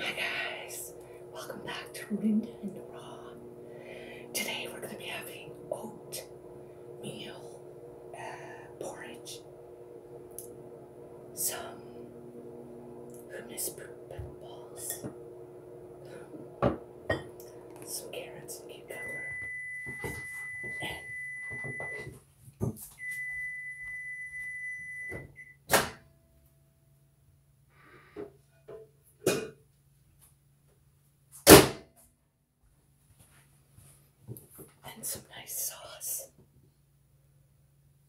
Hi guys, welcome back to Linda and Raw. Today we're going to be having oatmeal uh, porridge, some hummus balls, some carrots and cucumber, and and some nice sauce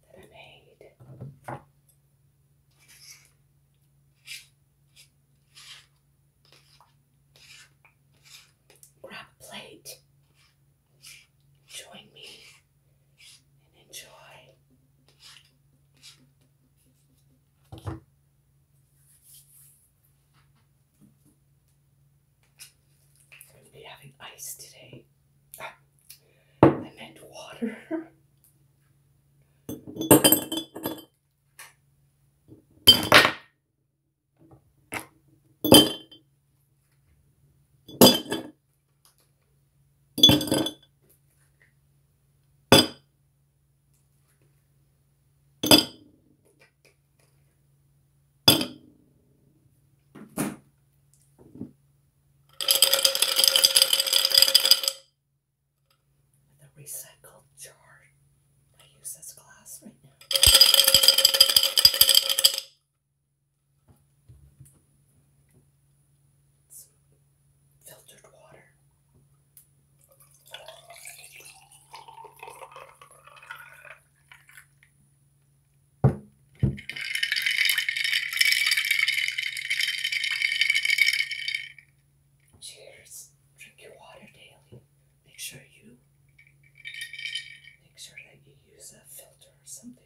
that I made. Grab a plate join me and enjoy. I'm going to be having ice today. Ah, I meant water. recycled jar. I use this glass right now filtered water. Cheers. Drink your water daily. Make sure you make sure that you use a filter or something.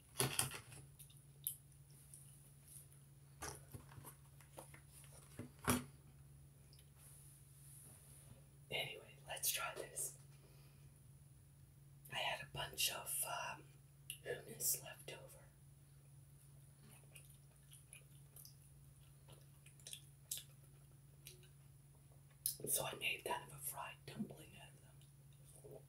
Anyway, let's try this. I had a bunch of um, hummus left over. So I made kind of fried dumpling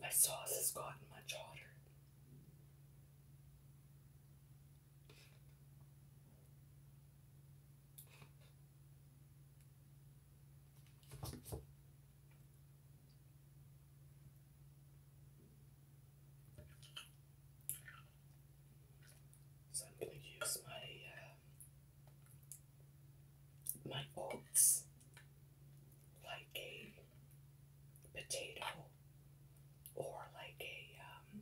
My sauce has gotten much hotter. So I'm going to use my uh, my oats like a potato or like a um,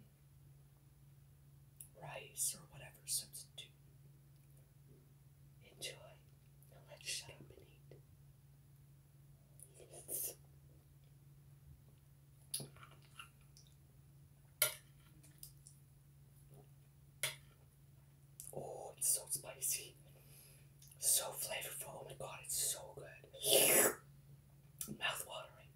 rice or whatever substitute. Enjoy. let's shut up and eat. Yes. Oh, it's so spicy. So flavorful. Oh my god, it's so good. Mouth watering.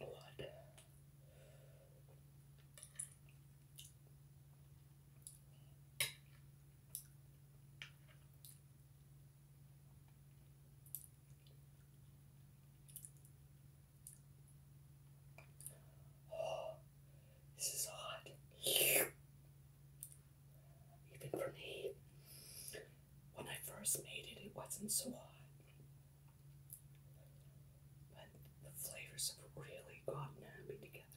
What? Oh, this is hot. Even for me, when I first made it, it wasn't so hot. But the flavors have really gotten me together.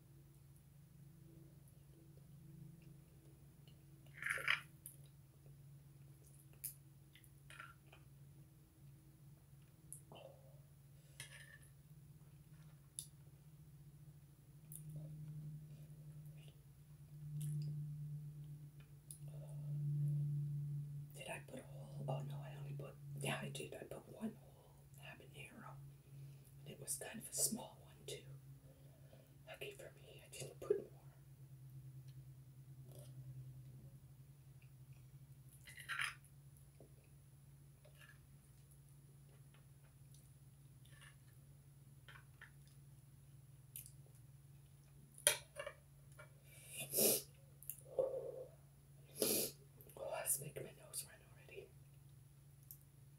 Did I put a whole? Oh no, I only put. Yeah, I did. I put one habanero. And it was kind of a small one, too. Lucky for me, I didn't put more. Oh, that's making my nose run already.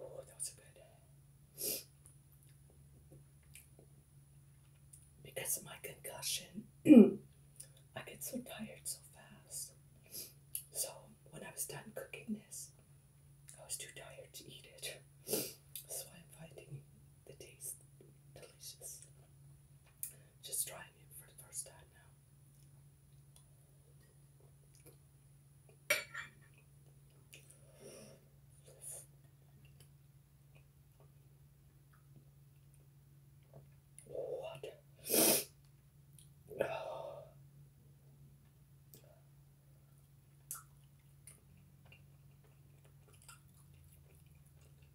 Oh, that was good. Because of my concussion, I get so tired so fast. So, when I was done cooking this, I was too tired to eat it. That's why I'm finding the taste delicious. Just trying it for the first time now. What?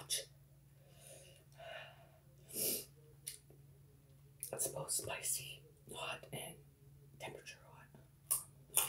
Ouch. It's both spicy, hot, and temperature hot.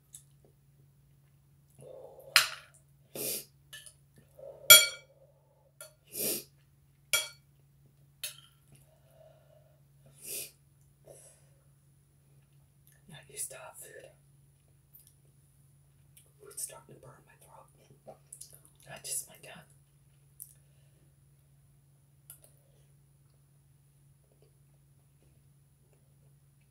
Not used to food. it's starting to burn my throat. Not just my tongue.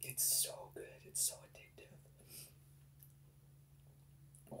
It's so good. It's so addictive. Wow.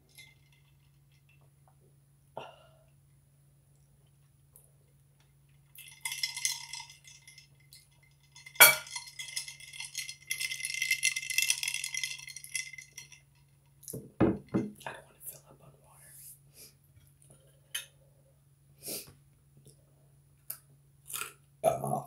I don't want to fill up on water. Oh.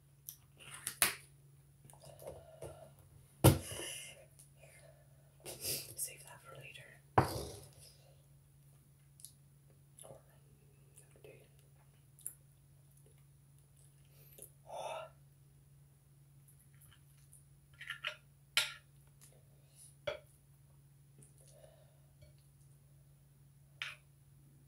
Save that for later. Or another day.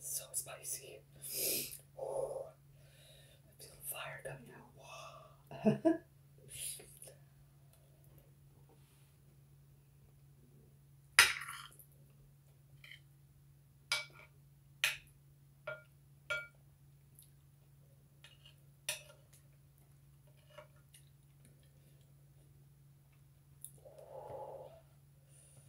So spicy. Oh, I feel fire coming out.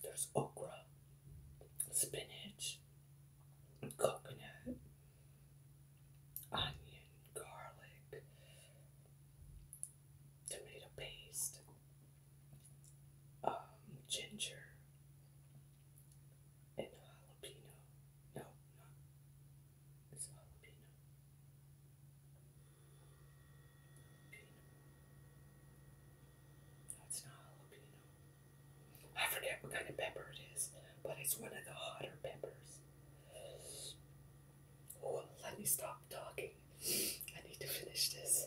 There's okra, spinach, coconut, onion, garlic, tomato paste, um, ginger, and jalapeno. No, not it's jalapeno. Jalapeno. not jalapeno. I forget what kind of pepper it is, but it's one of the hotter peppers. Oh, let me stop talking. I need to finish this.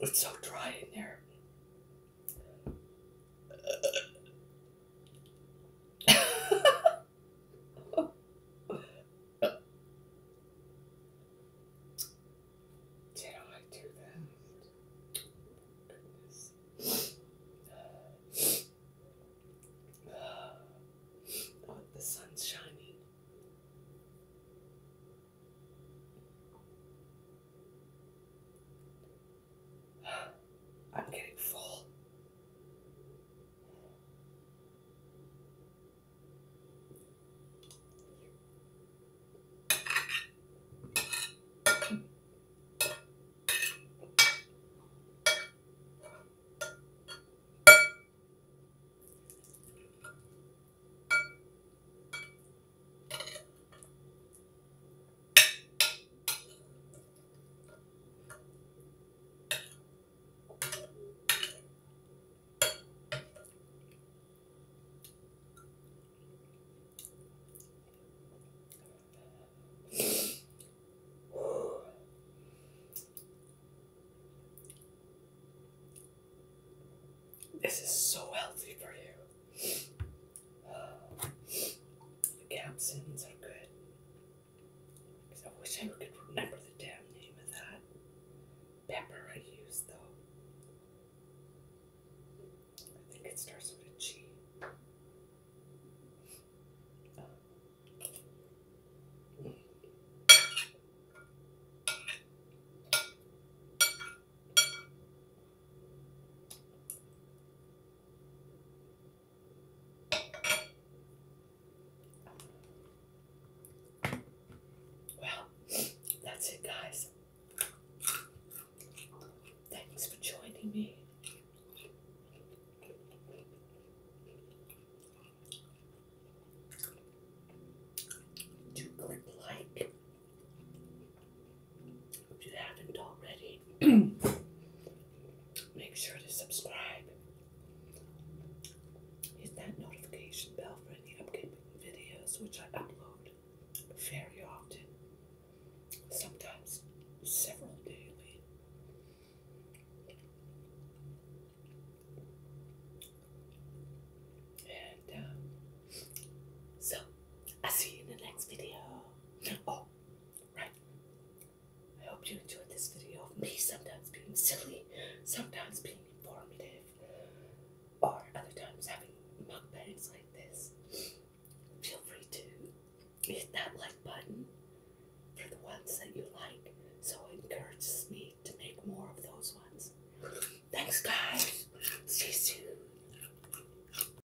It's so dry in there. Did I do that? Oh, the sun's shining. I'm getting full. This is so healthy for you. The captions are good. Because I wish I could remember the damn name of that pepper I used, though. I think it starts with a G. Well, that's it, guys. Thanks for joining me. Do click like if you haven't already, make sure to subscribe. Hit that notification bell for any upcoming videos which I upload very often, sometimes several daily. And um, so, I'll see you in the next video. Oh, Right. I hope you enjoyed this video of me sometimes being silly, sometimes being informative, or other times having mukbangs like this. Feel free to hit that like button for the ones that you like, so it encourages me to make more of those ones. Thanks, guys. See you soon.